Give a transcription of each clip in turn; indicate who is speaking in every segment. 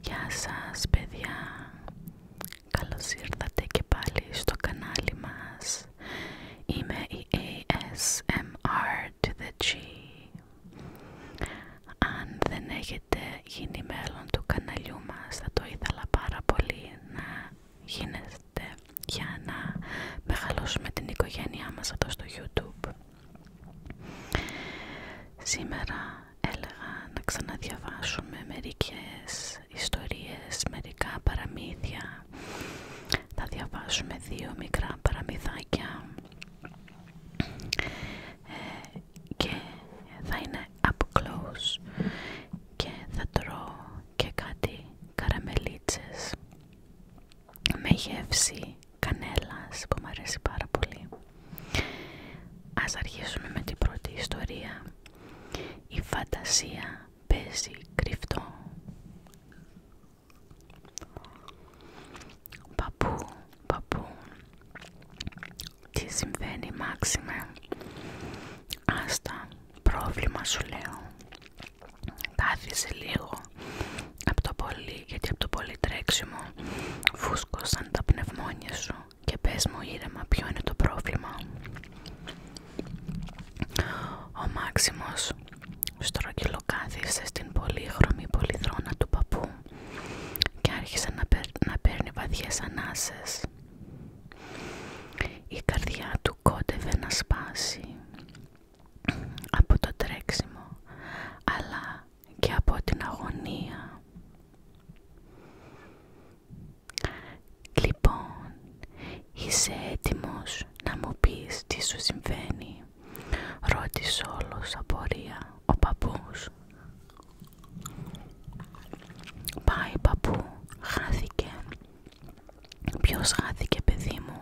Speaker 1: Γεια σας παιδιά, Καλώ ήρθατε και πάλι στο κανάλι μας. Είμαι η ASMR to the G. Αν δεν έχετε γίνει μέλλον του καναλιού μας θα το ήθελα πάρα πολύ να γίνετε για να μεγαλώσουμε την οικογένειά μας εδώ στο YouTube. Σήμερα έλεγα να ξαναδιαβάσουμε μερικές ιστορίες, μερικά παραμύθια. Θα διαβάσουμε δύο μικρά παραμυθάκια ε, και θα είναι up close και θα τρώω και κάτι καραμελίτσες με γεύση κανέλας που μου αρέσει πάρα πολύ. Ας αρχίσουμε με την πρώτη ιστορία. Η φαντασία παίζει κρυφτό. Παππού, παππού, τι συμβαίνει Μάξιμε, άστα, πρόβλημα σου λέω κάθισε λίγο από το πολύ γιατί από το πολύ τρέξιμο φούσκωσαν τα πνευμόνια σου και πες μου ήρεμα ποιο είναι το πρόβλημα ο Μάξιμος στρογγυλοκάθισε στην πολύχρωμη πολυθρόνα του παππού και άρχισε να, παίρνει βαδιές ανάσες η καρδιά του του να σπάσει από το τρέξιμο αλλά και από την αγωνία. Λοιπόν, είσαι έτοιμος να μου πεις τι σου συμβαίνει, ρώτησε όλος απορία ο παππούς. Πάει παππού, χάθηκε, Ποιος χάθηκε παιδί μου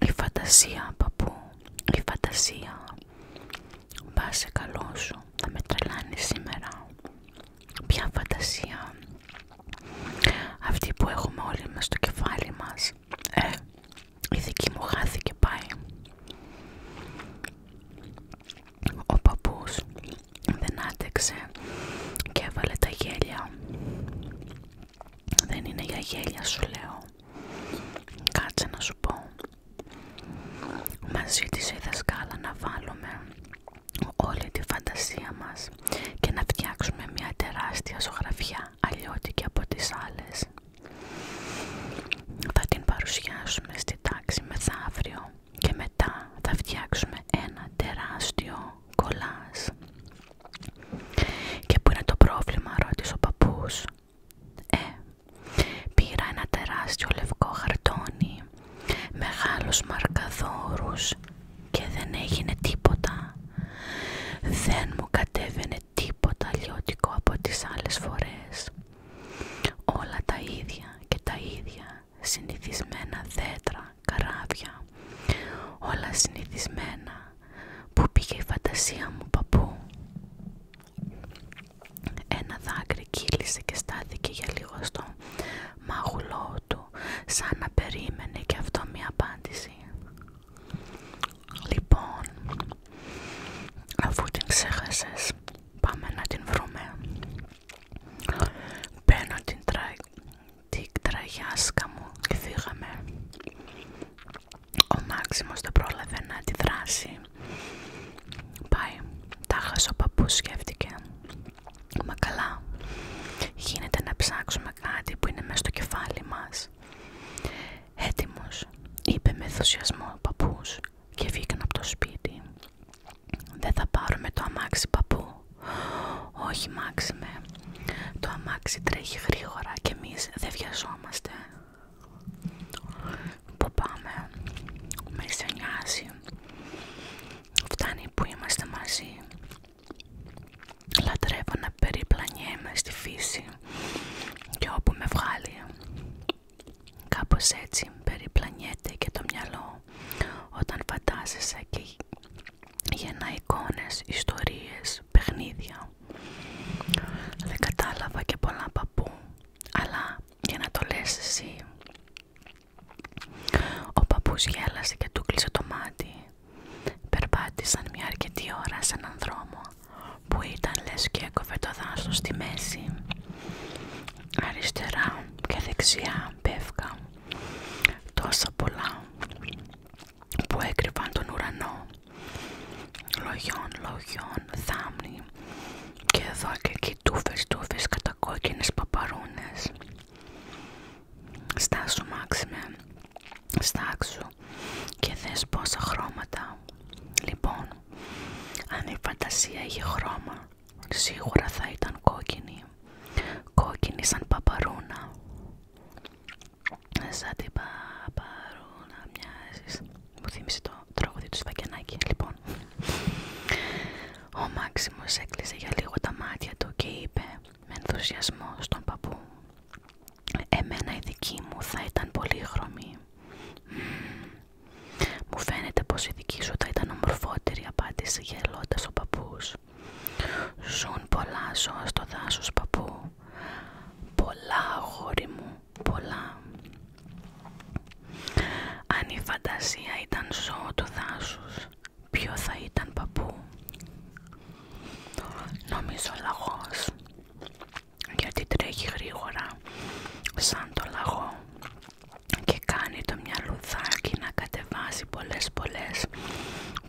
Speaker 1: Η φαντασία παππού Η φαντασία Πάσε καλό σου Θα με τρελάνει σήμερα Ποια φαντασία Αυτή που έχουμε όλοι μας στο κεφάλι μας Ε Η δική μου χάθηκε πάει Ο παππούς δεν άτεξε και έβαλε τα γέλια. Δεν είναι για γέλια σου λέω. Κάτσε να σου πω. Μας ζήτησε η δασκάλα να βάλουμε όλη τη φαντασία μας και να φτιάξουμε μια τεράστια ζωγραφιά αλλιώτικη από τις άλλες. Θα την παρουσιάσουμε στη τάξη μεθαύριο και μετά θα φτιάξουμε ένα τεράστιο κολάς. Και πού είναι το πρόβλημα, ρώτησε ο παππούς. Ε, πήρα ένα τεράστιο λευκό χαρτόνι, μεγάλου μαρκαδόρους και δεν έγινε τίποτα. Δεν μου κατέβαινε τίποτα λιώτικο από τις άλλες φορές. Όλα τα ίδια και τα ίδια συνηθισμένα δέντρα, καράβια, όλα συνηθισμένα. Πού πήγε η φαντασία μου, παππού. Ένα δάκρυ κύλησε και στάθηκε για λίγο στο μάγουλό του, σαν να περίμενε και αυτό μια απάντηση. Λοιπόν, αφού την ξέχασες, πάμε να την βρούμε. Παίρνω την, τραγιάσκα μου και φύγαμε. Ο Μάξιμος δεν πρόλαβε να αντιδράσει. Πάει. Τα χάσε ο παππούς σκέφτηκε. Μα καλά. Γίνεται να ψάξουμε κάτι που είναι μέσα στο κεφάλι μας. «Έτοιμος», είπε με ενθουσιασμό ο παππούς και φύγαν από το σπίτι. Δεν θα πάρουμε το αμάξι παππού. Όχι μάξιμε. Το αμάξι τρέχει γρήγορα και εμείς δεν βιαζόμαστε. Πού πάμε. Με στενιάζει. Φτάνει που είμαστε μαζί. Λατρεύω να περιπλανιέμαι στη φύση και όπου με βγάλει. Κάπως έτσι περιπλανιέται και το μυαλό όταν φαντάζεσαι και γεννά εικόνες, ιστορίες, παιχνίδια. Δεν κατάλαβα και πολλά παππού, αλλά για να το λες εσύ. Ο παππούς γέλασε και του κλείσε το μάτι. Περπάτησαν μια αρκετή ώρα σε έναν δρόμο που ήταν λες και έκοβε το δάσος στη μέση αριστερά και δεξιά πέφκα τόσα πολλά που έκρυβαν τον ουρανό λογιών, λογιών, θάμνη και εδώ και εκεί τούφες, τούφες κατακόκκινες παπαρούνες στάσου Μάξιμε, στάξου και δες πόσα χρώματα λοιπόν αν η φαντασία είχε χρώμα, σίγουρα θα ήταν κόκκινη. Κόκκινη σαν παπαρούνα. Σαν την παπαρούνα μοιάζει. Μου θύμισε το τρόπο του Σφακιανάκη, λοιπόν. Ο Μάξιμος έκλεισε για λίγο τα μάτια του και είπε με ενθουσιασμό στον παππού «Εμένα η δική μου θα ήταν πολύχρωμη». Μου φαίνεται πως η δική σου θα ήταν ομορφότερη, απάντησε γελώντας ο παππούς. Ζουν πολλά ζώα στο δάσος, παππού. Πολλά, αγόρι μου, πολλά. Αν η φαντασία ήταν ζώο του δάσους, ποιο θα ήταν παππού. Νομίζω λαγός γιατί τρέχει γρήγορα σαν το λαγό και κάνει το μυαλουδάκι να κατεβάζει πολλές πολλές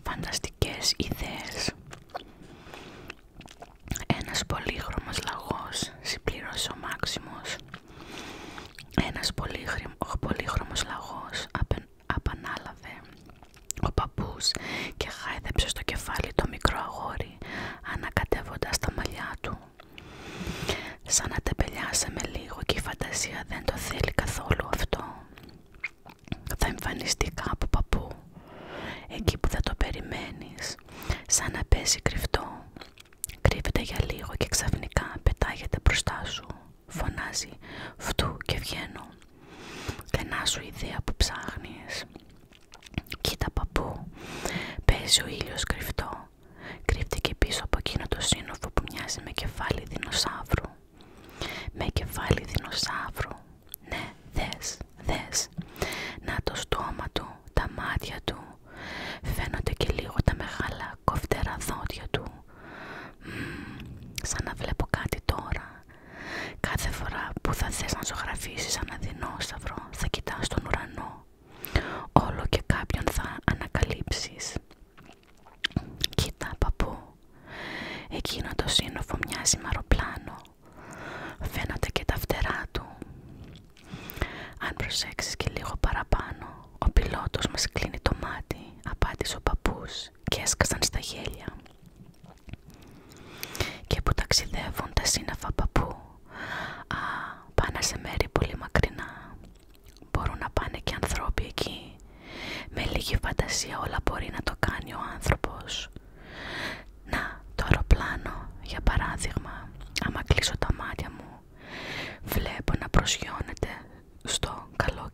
Speaker 1: φανταστικές ιδέες. Ένας πολύχρωμος λαγός συμπλήρωσε ο Μάξιμος. Ένας πολύχρωμος λαγός απεν, απανάλαβε ο παππούς και χάιδεψε στο κεφάλι το μικρό αγόρι ανακατεύοντας τα μαλλιά του. Σαν να τα με λίγο και η φαντασία δεν το θέλει καθόλου αυτό. Θα εμφανιστεί κάπου παππού, εκεί που θα το περιμένεις, σαν να πέσει κρυφτό. Κρύβεται για λίγο και ξαφνικά πετάγεται μπροστά σου. Φωνάζει «Φτού και βγαίνω». Κενά σου ιδέα που ψάχνεις. «Κοίτα παππού, παίζει ο ήλιος κρυφτό. Κρύφτηκε πίσω από εκείνο το σύνοφο που μοιάζει με κεφάλι δεινοσαύρου. Με κεφάλι δεινοσαύρου. Ναι, δες, δες. Να το στόμα του, τα μάτια του. Φαίνονται και λίγο τα μεγάλα κοφτερά δόντια του. σαν να βλέπω κάτι τώρα. Κάθε φορά που θα θες να ζωγραφίσεις ένα δεινόσαυρο θα κοιτάς τον ουρανό. Όλο και κάποιον θα ανακαλύψεις. Κοίτα παππού, εκείνο το σύνοφο μοιάζει μαροπλάνο, αεροπλάνο. Φαίνονται και τα φτερά του. Αν προσέξεις και λίγο παραπάνω, ο πιλότος μας κλείνει το μάτι, απάντησε ο παππούς και έσκασαν στα γέλια και που ταξιδεύουν τα σύννεφα παππού α, πάνε σε μέρη πολύ μακρινά μπορούν να πάνε και ανθρώποι εκεί με λίγη φαντασία όλα μπορεί να το κάνει ο άνθρωπος να το αεροπλάνο για παράδειγμα άμα κλείσω τα μάτια μου βλέπω να προσγειώνεται στο καλό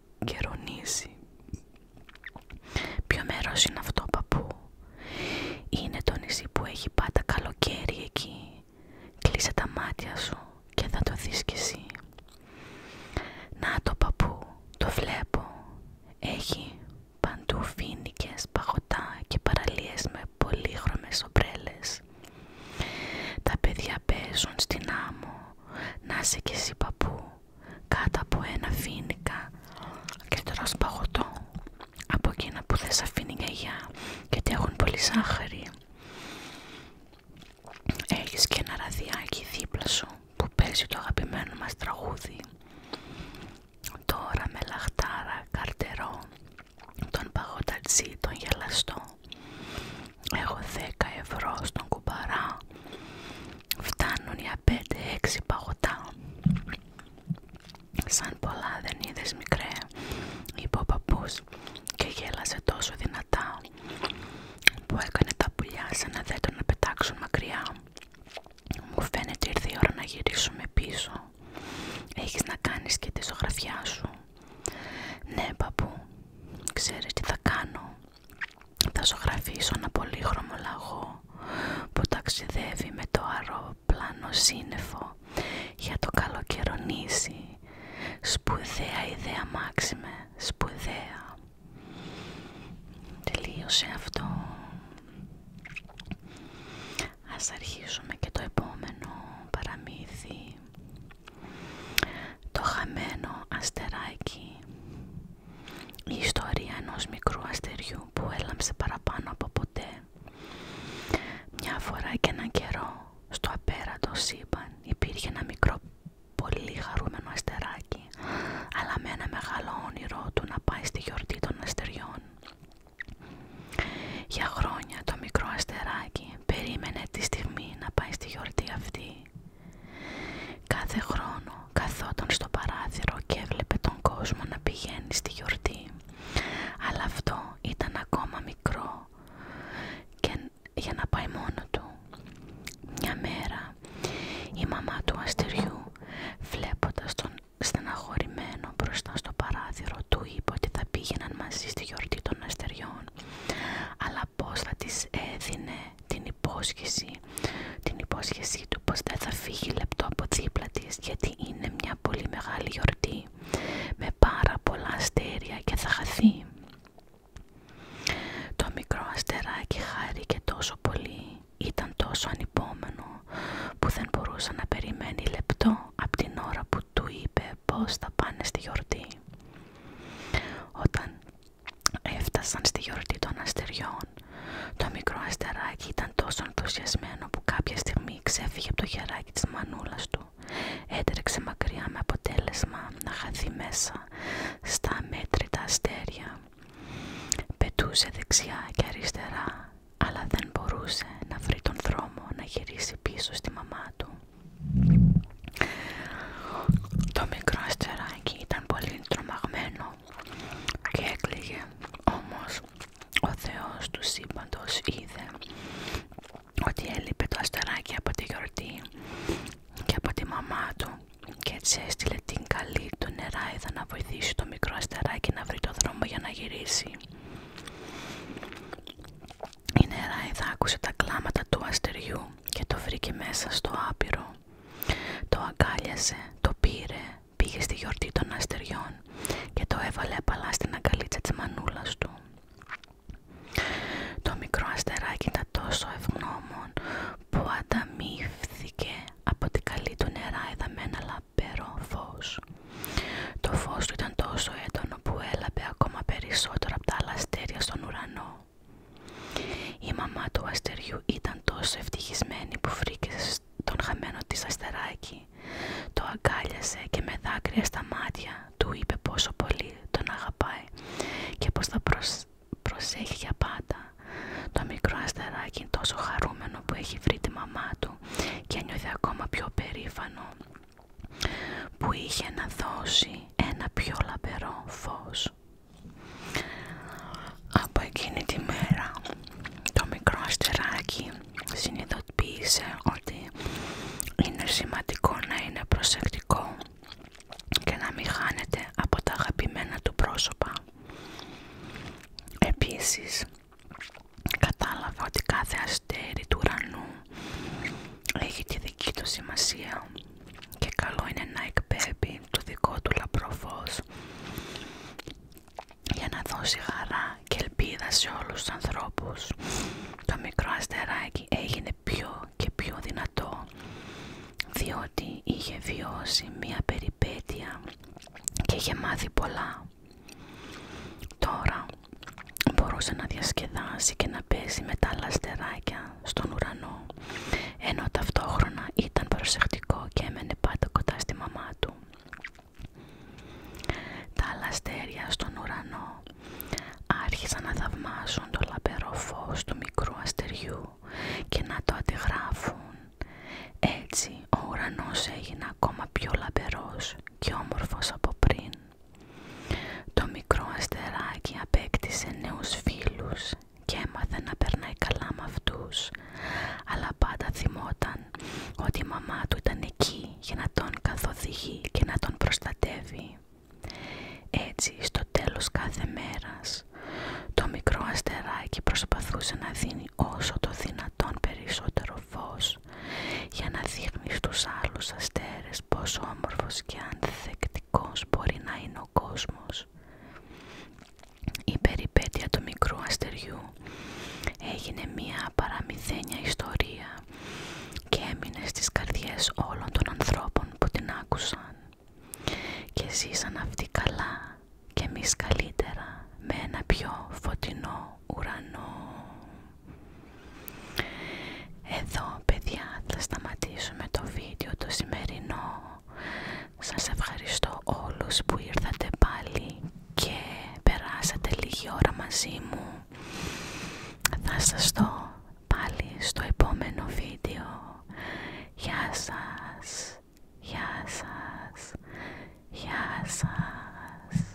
Speaker 1: Ποιο μέρος είναι αυτό παππού Είναι το νησί που έχει πάντα καλοκαίρι εκεί Κλείσε τα μάτια σου και θα το δεις κι εσύ Να το παππού, το βλέπω Έχει παντού φίνικες, παγωτά και παραλίες με πολύχρωμες ομπρέλες Τα παιδιά παίζουν στην άμμο Να είσαι κι εσύ παππού κάτω από ένα φίνικα και τώρα παγωτό από εκείνα που δεν σ' αφήνει η γιαγιά γιατί έχουν πολύ σάχαρη έχεις και ένα ραδιάκι δίπλα σου που παίζει το αγαπημένο μας τραγούδι τώρα με λαχτάρα καρτερό τον παγωτατζή τον γελαστό έχω δέκα ευρώ στον κουμπαρά Φτάνουν για 5 έξι παγωτά. Σαν πολλά δεν είδες μικρέ, είπε ο παππούς και γέλασε τόσο δυνατά που έκανε τα πουλιά σαν να δέντρο να πετάξουν μακριά. Μου φαίνεται ήρθε η ώρα να γυρίσουμε πίσω. Έχεις να κάνεις και τη ζωγραφιά σου. Ναι παππού, ξέρεις τι θα κάνω. Θα ζωγραφίσω ένα πολύχρωμο λαγό που ταξιδεύει με το αεροπλάνο σύννεφο για το καλοκαιρονήσι. Σπουδαία ιδέα Μάξιμε, σπουδαία. Τελείωσε αυτό. Ας αρχίσουμε και το επόμενο παραμύθι. Το χαμένο αστεράκι. Η ιστορία ενός μικρού αστεριού που έλαμψε παραπάνω από ποτέ. Μια φορά και έναν καιρό στο απέραντο σύμπαν υπήρχε ένα μικρό πολύ χαρούμενο αστεράκι αλλά με ένα μεγάλο όνειρο του να πάει στη γιορτή των αστεριών. Για χρόνια το μικρό αστεράκι περίμενε τη στιγμή να πάει στη γιορτή αυτή Κάθε χρόνο καθόταν στο παράθυρο και έβλεπε τον κόσμο να πηγαίνει στη γιορτή. Αλλά αυτό ήταν ακόμα μικρό και για να πάει μόνο του. Μια μέρα η μαμά του αστεριού βλέποντας τον στεναχωρημένο μπροστά στο παράθυρο του είπε ότι θα πήγαιναν μαζί στη γιορτή των αστεριών αλλά πως θα της έδινε την την υπόσχεσή του πως δεν θα φύγει λεπτό από δίπλα τη γιατί είναι μια πολύ μεγάλη γιορτή με πάρα πολλά αστέρια και θα χαθεί. Το μικρό αστεράκι και τόσο πολύ, ήταν τόσο ανυπόμενο που δεν μπορούσε να περιμένει λεπτό από την ώρα που του είπε πως θα πάνε στη γιορτή. Όταν Έφτασαν στη γιορτή των αστεριών. Το μικρό αστεράκι ήταν τόσο ενθουσιασμένο που κάποια στιγμή ξέφυγε από το χεράκι της μανούλας του. Έτρεξε μακριά με αποτέλεσμα να χαθεί μέσα στα μέτρητα αστέρια. Πετούσε δεξιά και αριστερά, αλλά δεν μπορούσε να βρει τον δρόμο να γυρίσει πίσω στη μαμά του. Το μικρό αστεράκι ήταν πολύ τρομαγμένο και έκλαιγε. Όμως ο Θεός του σύμπαντος είδε ότι έλειπε το αστεράκι από τη γιορτή και από τη μαμά του και έτσι έστειλε την καλή του νεράιδα να βοηθήσει το μικρό αστεράκι να βρει το δρόμο για να γυρίσει. Η νεράιδα άκουσε τα κλάματα του αστεριού και το βρήκε μέσα στο άπειρο. Το αγκάλιασε, το πήρε, πήγε στη γιορτή των αστεριών και το έβαλε απαλά στην αγκαλίτσα της μανούλας του. Το μικρό αστεράκι ήταν τόσο ευγνώμων που ανταμείφθηκε από την καλή του νερά εδαμένα λαμπερό φως. Το φως του ήταν τόσο έντονο που έλαβε ακόμα περισσότερο από τα άλλα αστέρια στον ουρανό. Η μαμά του αστεριού ήταν τόσο ευτυχισμένη που φρίκησε τον χαμένο της αστεράκι. Το αγκάλιασε και με δάκρυα στα μάτια του είπε πόσο πολύ τον αγαπάει και πως θα προσέχει για πάντα. Το μικρό αστεράκι τόσο χαρούμενο που έχει βρει τη μαμά του και νιώθει ακόμα πιο περήφανο που είχε να δώσει ένα πιο λαμπερό φως. Από εκείνη τη μέρα το μικρό αστεράκι συνειδητοποίησε ότι είναι σημαντικό να είναι προσεκτικό και να μην χάνεται από τα αγαπημένα του πρόσωπα. Επίσης, κατάλαβα ότι κάθε αστέρι του ουρανού έχει τη δική του σημασία και καλό είναι να εκπέμπει το δικό του λαμπρό για να δώσει χαρά και ελπίδα σε όλους τους ανθρώπους. Το μικρό αστεράκι έγινε πιο και πιο δυνατό διότι είχε βιώσει μία περιπέτεια και είχε μάθει πολλά. Τώρα μπορούσε να διασκεδάσει και να να με τα λαστεράκια στον ουρανό ενώ ταυτόχρονα ήταν προσεκτικό και έμενε πάντα κοντά στη μαμά του. Τα λαστέρια στον ουρανό άρχισαν να θαυμάσουν το λαμπερό φως του μικρού αστεριού και να το αντιγράφουν. Έτσι ο ουρανός έγινε ακόμα πιο λαμπερός και όμορφος από πριν. Το μικρό αστεράκι απέκτησε νέους φίλους και έμαθε να περνάει καλά με αυτούς, αλλά πάντα θυμόταν ότι η μαμά του ήταν εκεί για να τον καθοδηγεί και να τον προστατεύει. Έτσι, στο τέλος κάθε μέρας, το μικρό αστεράκι προσπαθούσε να δίνει όσο το δυνατόν περισσότερο φως για να δείχνει στους άλλους αστέρες πόσο όμορφος και ανθεκτικός μπορεί να είναι ο κόσμος. Η περιπέτεια του μικρού αστεριού έγινε μία παραμυθένια ιστορία και έμεινε στις καρδιές όλων των ανθρώπων που την άκουσαν και ζήσαν αυτοί καλά και εμείς καλύτερα με ένα πιο φωτεινό ουρανό. Εδώ παιδιά θα σταματήσουμε το βίντεο το σημερινό. Σας ευχαριστώ όλους που ήρθατε πάλι και περάσατε λίγη ώρα μαζί μου. Θα σας δω πάλι στο επόμενο βίντεο. Γεια σας, γεια σας, γεια σας.